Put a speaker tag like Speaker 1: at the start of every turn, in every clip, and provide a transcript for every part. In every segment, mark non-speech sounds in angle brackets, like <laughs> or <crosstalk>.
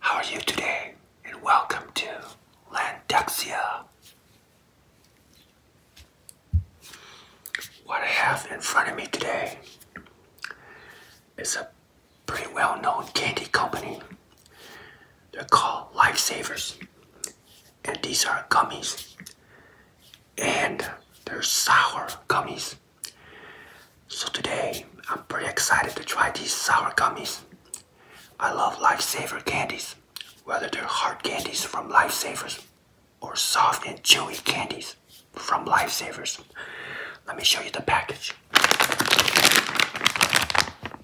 Speaker 1: How are you today? And welcome to Lantuxia. What I have in front of me today is a pretty well known candy company. They're called Lifesavers. And these are gummies. And they're sour gummies. So today, I'm pretty excited to try these sour gummies. I love Lifesaver candies, whether they're hard candies from Lifesavers or soft and chewy candies from Lifesavers. Let me show you the package.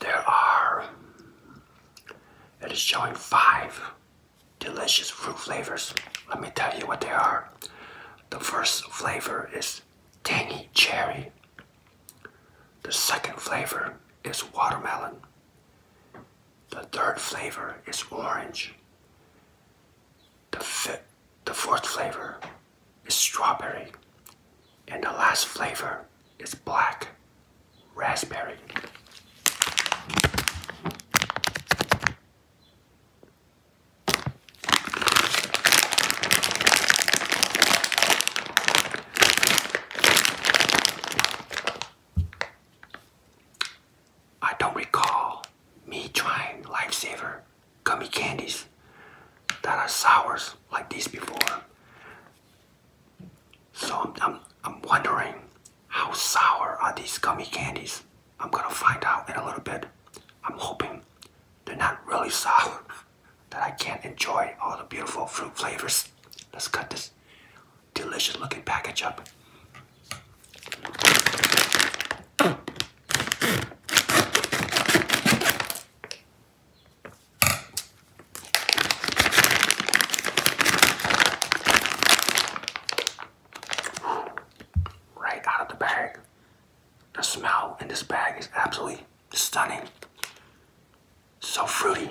Speaker 1: There are, it is showing five delicious fruit flavors. Let me tell you what they are. The first flavor is is tangy cherry. The second flavor is watermelon. The third flavor is orange. The, the fourth flavor is strawberry. And the last flavor is black raspberry. I don't recall me trying Lifesaver gummy candies that are sour like this before. So I'm wondering how sour are these gummy candies? I'm gonna find out in a little bit. I'm hoping they're not really soft that I can't enjoy all the beautiful fruit flavors. Let's cut this delicious looking package up. Right out of the bag. The smell in this bag is absolutely stunning. So fruity.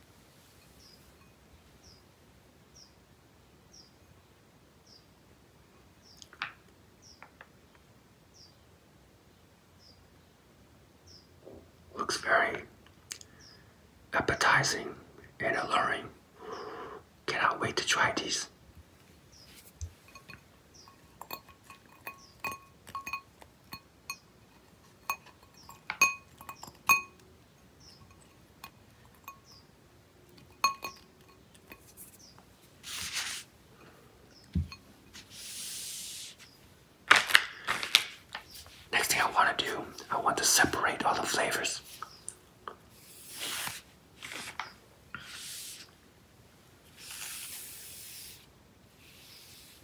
Speaker 1: Looks very appetizing and alluring. Cannot wait to try these. Next thing I want to do, I want to separate all the flavors.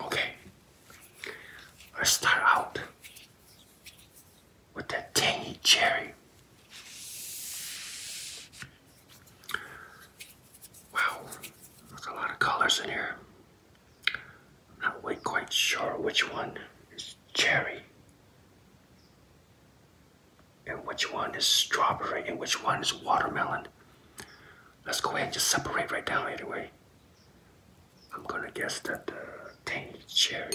Speaker 1: Okay, let's start out with that tangy cherry. Wow, there's a lot of colors in here. I'm not quite sure which one is cherry and which one is strawberry and which one is watermelon. Let's go ahead and just separate right now anyway. I'm gonna guess that the uh, tangy cherry.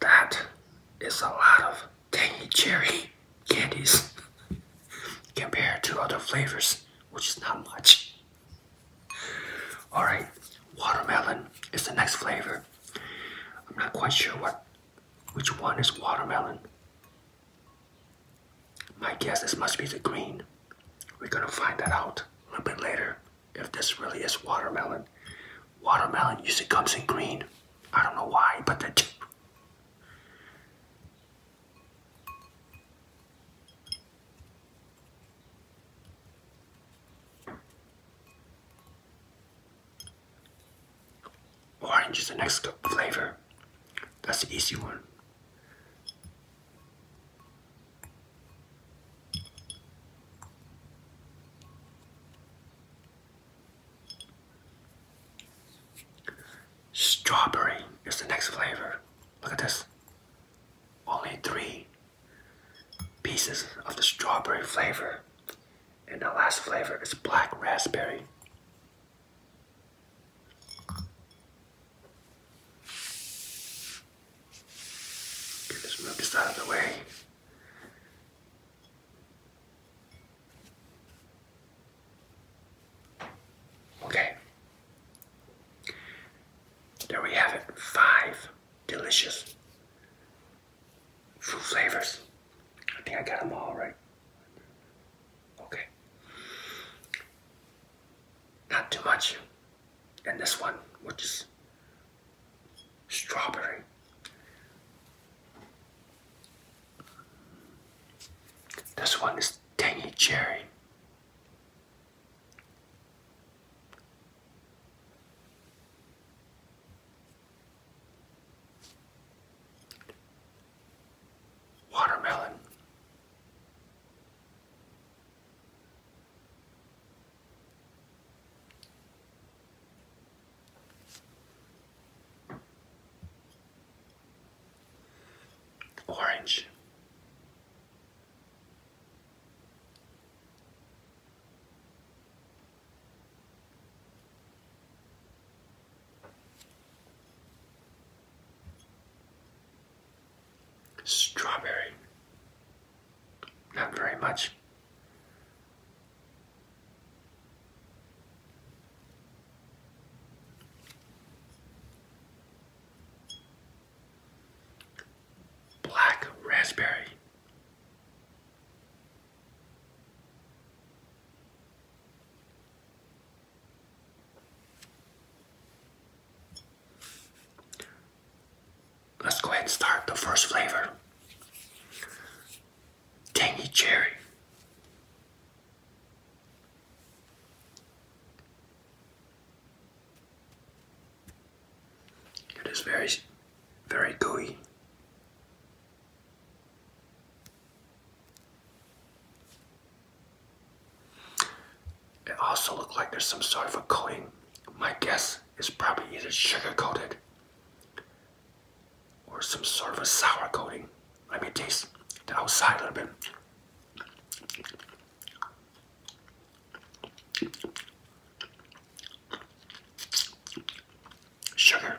Speaker 1: That is a lot of tangy cherry candies <laughs> compared to other flavors, which is not much. Alright, watermelon is the next flavor. I'm not quite sure what which one is watermelon. My guess this must be the green. We're gonna find that out a little bit later if this really is watermelon. Watermelon usually comes in green. I don't know why, but they Orange is the next flavor. That's the easy one. Strawberry is the next flavor. Look at this. Only three pieces of the strawberry flavor. And the last flavor is black raspberry. Okay, let's out of the way. Okay. There we have it. Five delicious fruit flavors. I think I got them all right. Okay. Not too much. And this one, which is strawberry. This one is tangy cherry. Watermelon. Orange. Strawberry. Not very much. Black raspberry. Let's go ahead and start the first flavor tangy cherry. It is very, very gooey. It also looks like there's some sort of a coating. My guess is probably either sugar coated or some sort of a sour coating. Let me taste the outside a little bit. Sugar.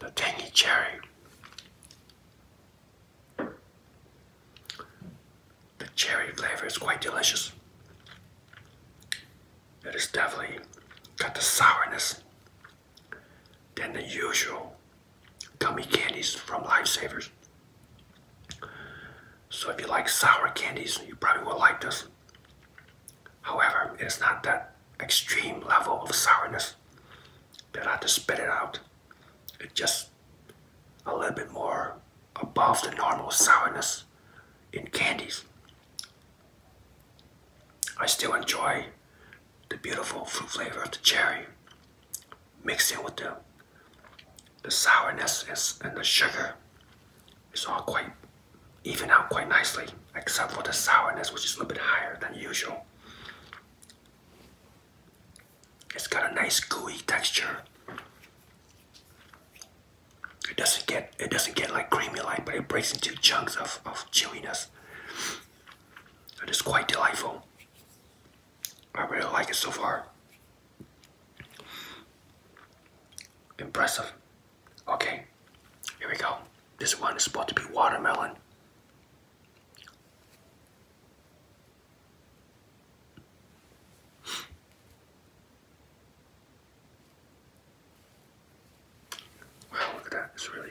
Speaker 1: the tangy cherry, the cherry flavor is quite delicious. It is definitely got the sourness than the usual gummy candies from Lifesavers. So if you like sour candies, you probably will like this. However, it's not that extreme level of sourness that I had to spit it out. It just a little bit more above the normal sourness in candies. I still enjoy the beautiful fruit flavor of the cherry mixing with the, the sourness and the sugar. It's all quite even out quite nicely except for the sourness, which is a little bit higher than usual. It's got a nice gooey texture. It doesn't get it doesn't get like creamy like, but it breaks into chunks of, of chewiness. It is quite delightful. I really like it so far. Impressive. Okay, here we go. This one is supposed to be watermelon. Wow, look at that. It's really.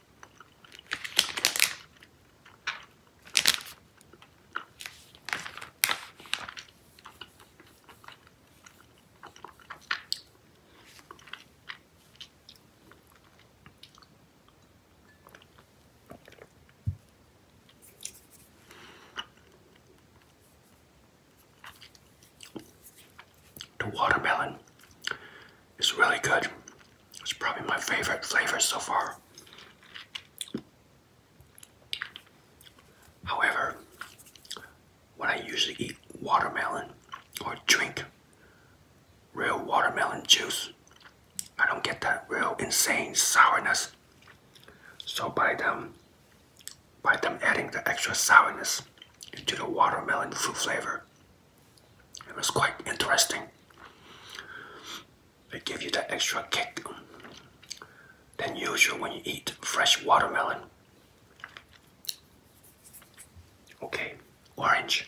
Speaker 1: To watermelon it's really good. It's probably my favorite flavor so far. However, when I usually eat watermelon or drink real watermelon juice, I don't get that real insane sourness. So by them, by them adding the extra sourness into the watermelon fruit flavor, it was quite interesting. They give you that extra kick than usual when you eat fresh watermelon. Okay, orange.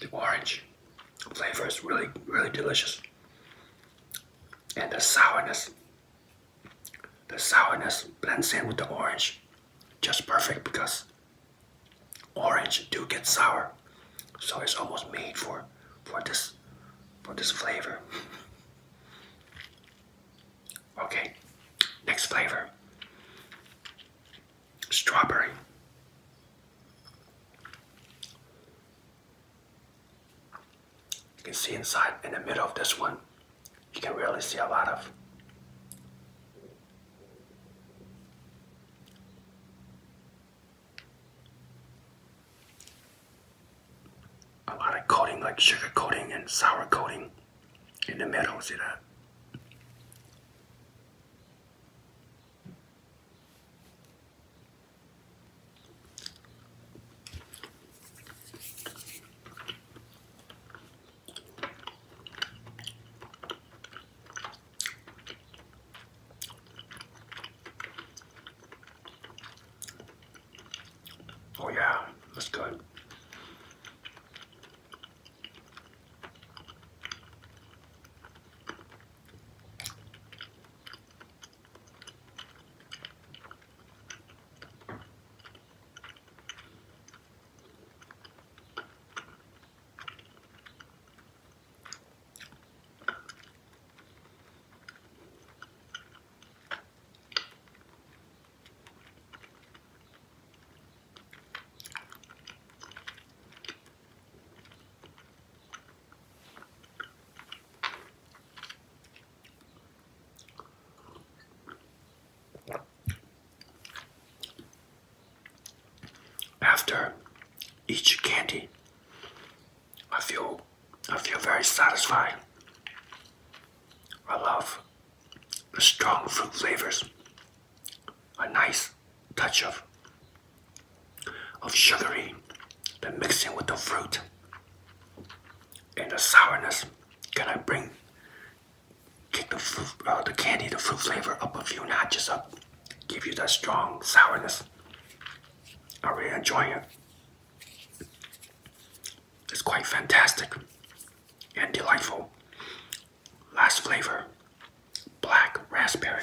Speaker 1: The orange flavor is really, really delicious. And the sourness, the sourness blends in with the orange just perfect because orange do get sour. So it's almost made for for this for this flavor. <laughs> okay, next flavor. Strawberry. You can see inside in the middle of this one, you can really see a lot of a lot of coating, like sugar coating and sour coating in the middle. you know. Oh yeah, that's good. After each candy, I feel I feel very satisfied. I love the strong fruit flavors. A nice touch of of sugary that mix in with the fruit and the sourness. Can I bring kick the uh, the candy, the fruit flavor up a few notches up? Give you that strong sourness. I really enjoy it. It's quite fantastic and delightful. Last flavor black raspberry.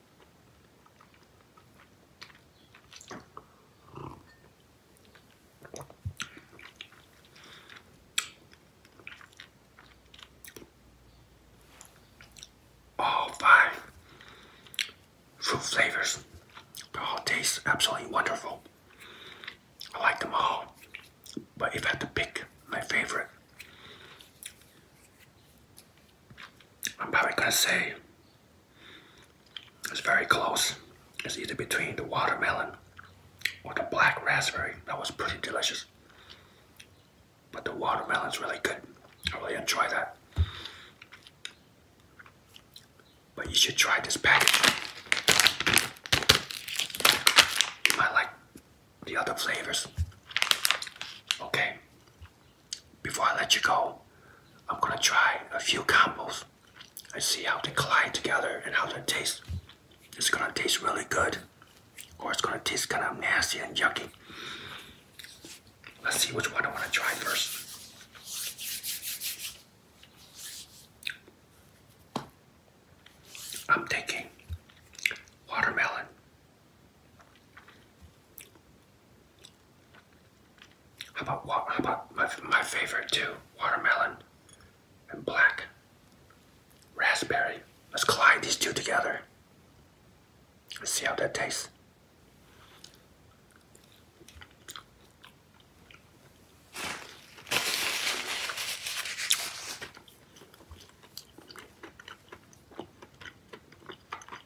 Speaker 1: All oh, five fruit flavors. all taste absolutely wonderful. I like them all, but if I had to pick my favorite, I'm probably gonna say it's very close. It's either between the watermelon or the black raspberry. That was pretty delicious. But the watermelon's really good. I really enjoy that. But you should try this package. You might like the other flavors. Okay, before I let you go, I'm gonna try a few combos and see how they collide together and how they taste. It's gonna taste really good, or it's gonna taste kind of nasty and yucky. Let's see which one I wanna try first. I'm thinking watermelon. How about what? How about my my favorite too? Watermelon and black raspberry. Let's collide these two together. Let's see how that tastes.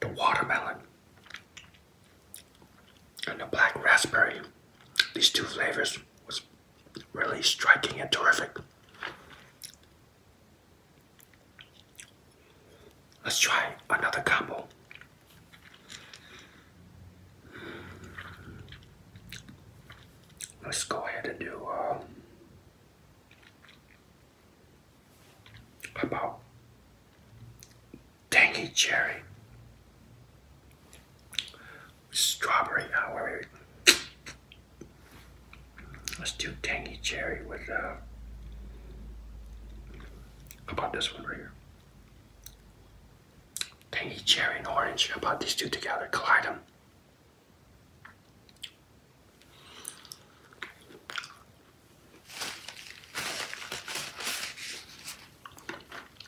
Speaker 1: The watermelon and the black raspberry. These two flavors was really striking and terrific. Let's try another combo. Let's go ahead and do um, a combo. Dang it, Jerry. Strawberry hour. Uh, Let's do tangy cherry with uh, about this one right here. Tangy cherry and orange. How about these two together? Collide them.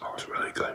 Speaker 1: That oh, was really good.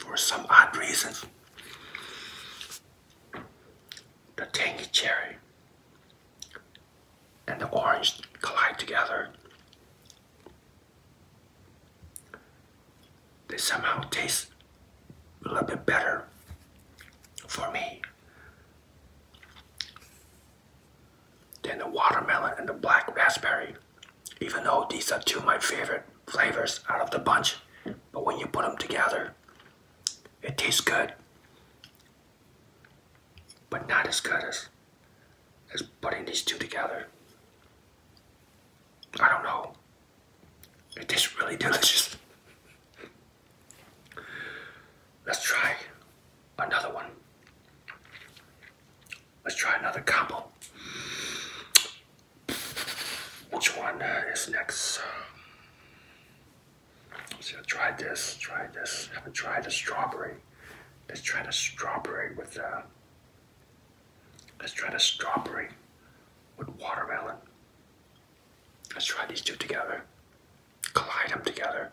Speaker 1: For some odd reason, the tangy cherry and the orange collide together. They somehow taste a little bit better for me then the watermelon and the black raspberry. Even though these are two of my favorite flavors out of the bunch, but when you put them together, it tastes good, but not as good as, as putting these two together. I don't know. It tastes really <laughs> delicious. Let's try another one. Let's try another combo. Which one is next? So try this, try this. I haven't tried the strawberry. Let's try the strawberry with the. Uh, let's try the strawberry with watermelon. Let's try these two together collide them together.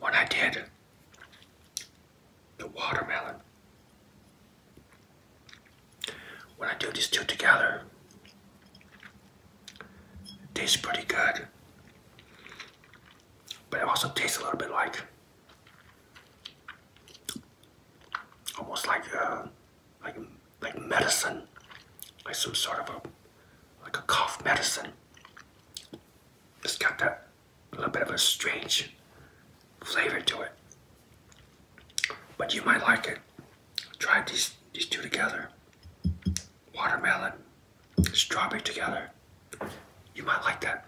Speaker 1: When I did the watermelon, when I do these two together, tastes pretty good. But it also tastes a little bit like almost like uh, like like medicine, like some sort of a like a cough medicine. It's got that little bit of a strange flavor to it, but you might like it. Try these these two together. Watermelon, strawberry together. You might like that.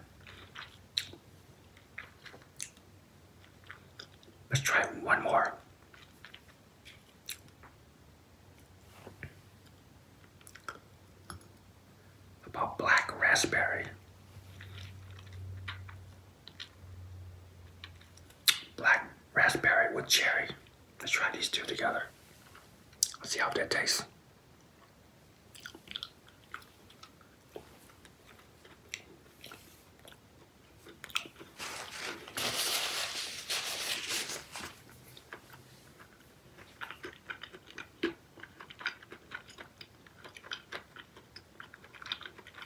Speaker 1: Let's try one more. About black raspberry. Black raspberry with cherry. Let's try these two together. Let's see how that tastes.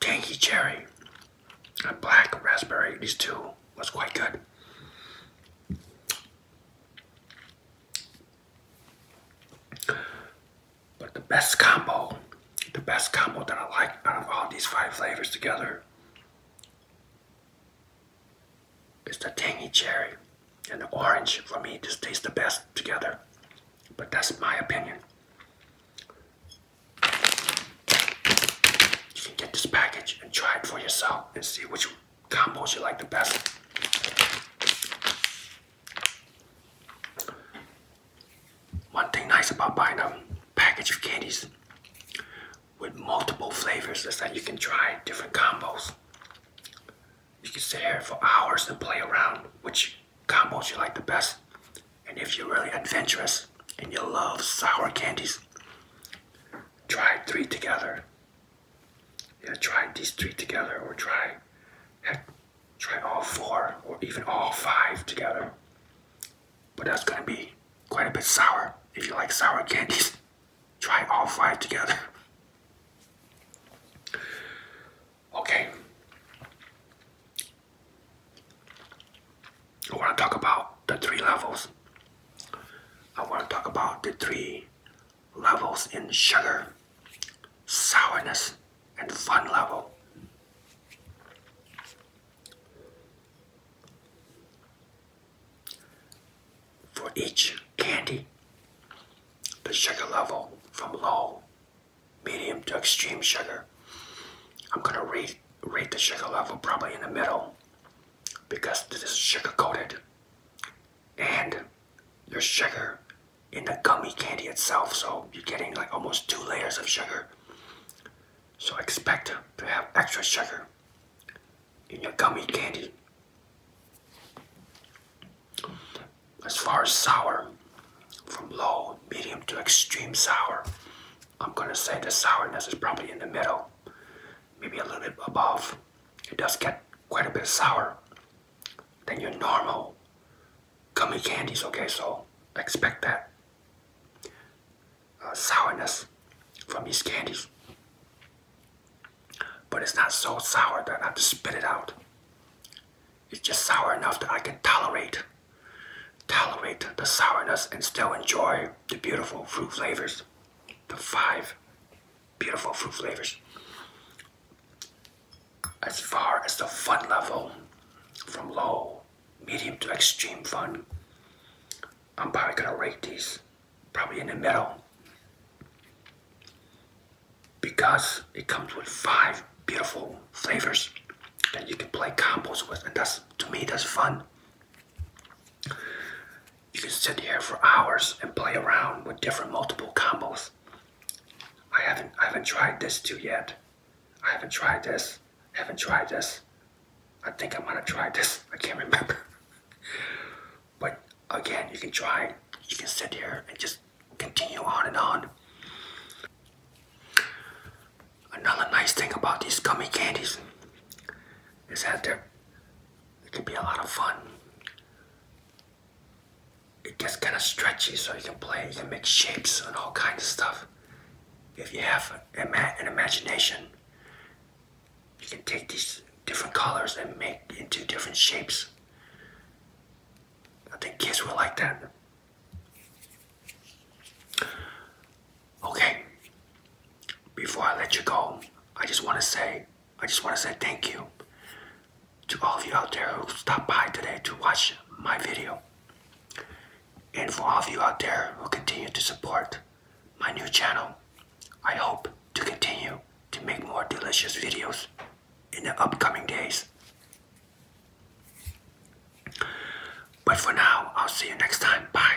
Speaker 1: Tangy cherry a black raspberry, these two was quite good. But the best combo, the best combo that I like out of all these five flavors together is the tangy cherry and the orange. For me, just tastes the best together. But that's my opinion. You can get this package and try it for yourself and see which combos you like the best. One thing nice about buying a package of candies with multiple flavors is that you can try different combos. You can sit here for hours and play around which combos you like the best. And if you're really adventurous and you love sour candies, try three together yeah, try these three together, or try try all four, or even all five together. But that's gonna be quite a bit sour. If you like sour candies, <laughs> try all five together. Okay. I want to talk about the three levels. I want to talk about the three levels in sugar, sourness, and fun level. For each candy, the sugar level from low, medium to extreme sugar. I'm going to rate, rate the sugar level probably in the middle because this is sugar coated and your sugar in the gummy candy itself. So you're getting like almost two layers of sugar. So expect to have extra sugar in your gummy candy. As far as sour, from low, medium to extreme sour, I'm gonna say the sourness is probably in the middle maybe a little bit above. It does get quite a bit sour than your normal gummy candies, okay? So expect that uh, sourness from these candies. But it's not so sour that I have to spit it out. It's just sour enough that I can tolerate tolerate the sourness and still enjoy the beautiful fruit flavors. The five beautiful fruit flavors. As far as the fun level, from low, medium to extreme fun, I'm probably gonna rate these probably in the middle because it comes with five beautiful flavors that you can play combos with and that's to me that's fun you can sit here for hours and play around with different multiple combos. I haven't I haven't tried this too yet. I haven't tried this. haven't tried this. I think I might have tried this. I can't remember. <laughs> but again, you can try. You can sit here and just continue on and on. Another nice thing about these gummy candies is that they're it can be a lot of fun. It gets kind of stretchy, so you can play, you can make shapes and all kinds of stuff. If you have an imagination, you can take these different colors and make into different shapes. I think kids will like that. Okay, before I let you go, I just want to say I just want to say thank you to all of you out there who stopped by today to watch my video. And for all of you out there who continue to support my new channel, I hope to continue to make more delicious videos in the upcoming days. But for now, I'll see you next time. Bye.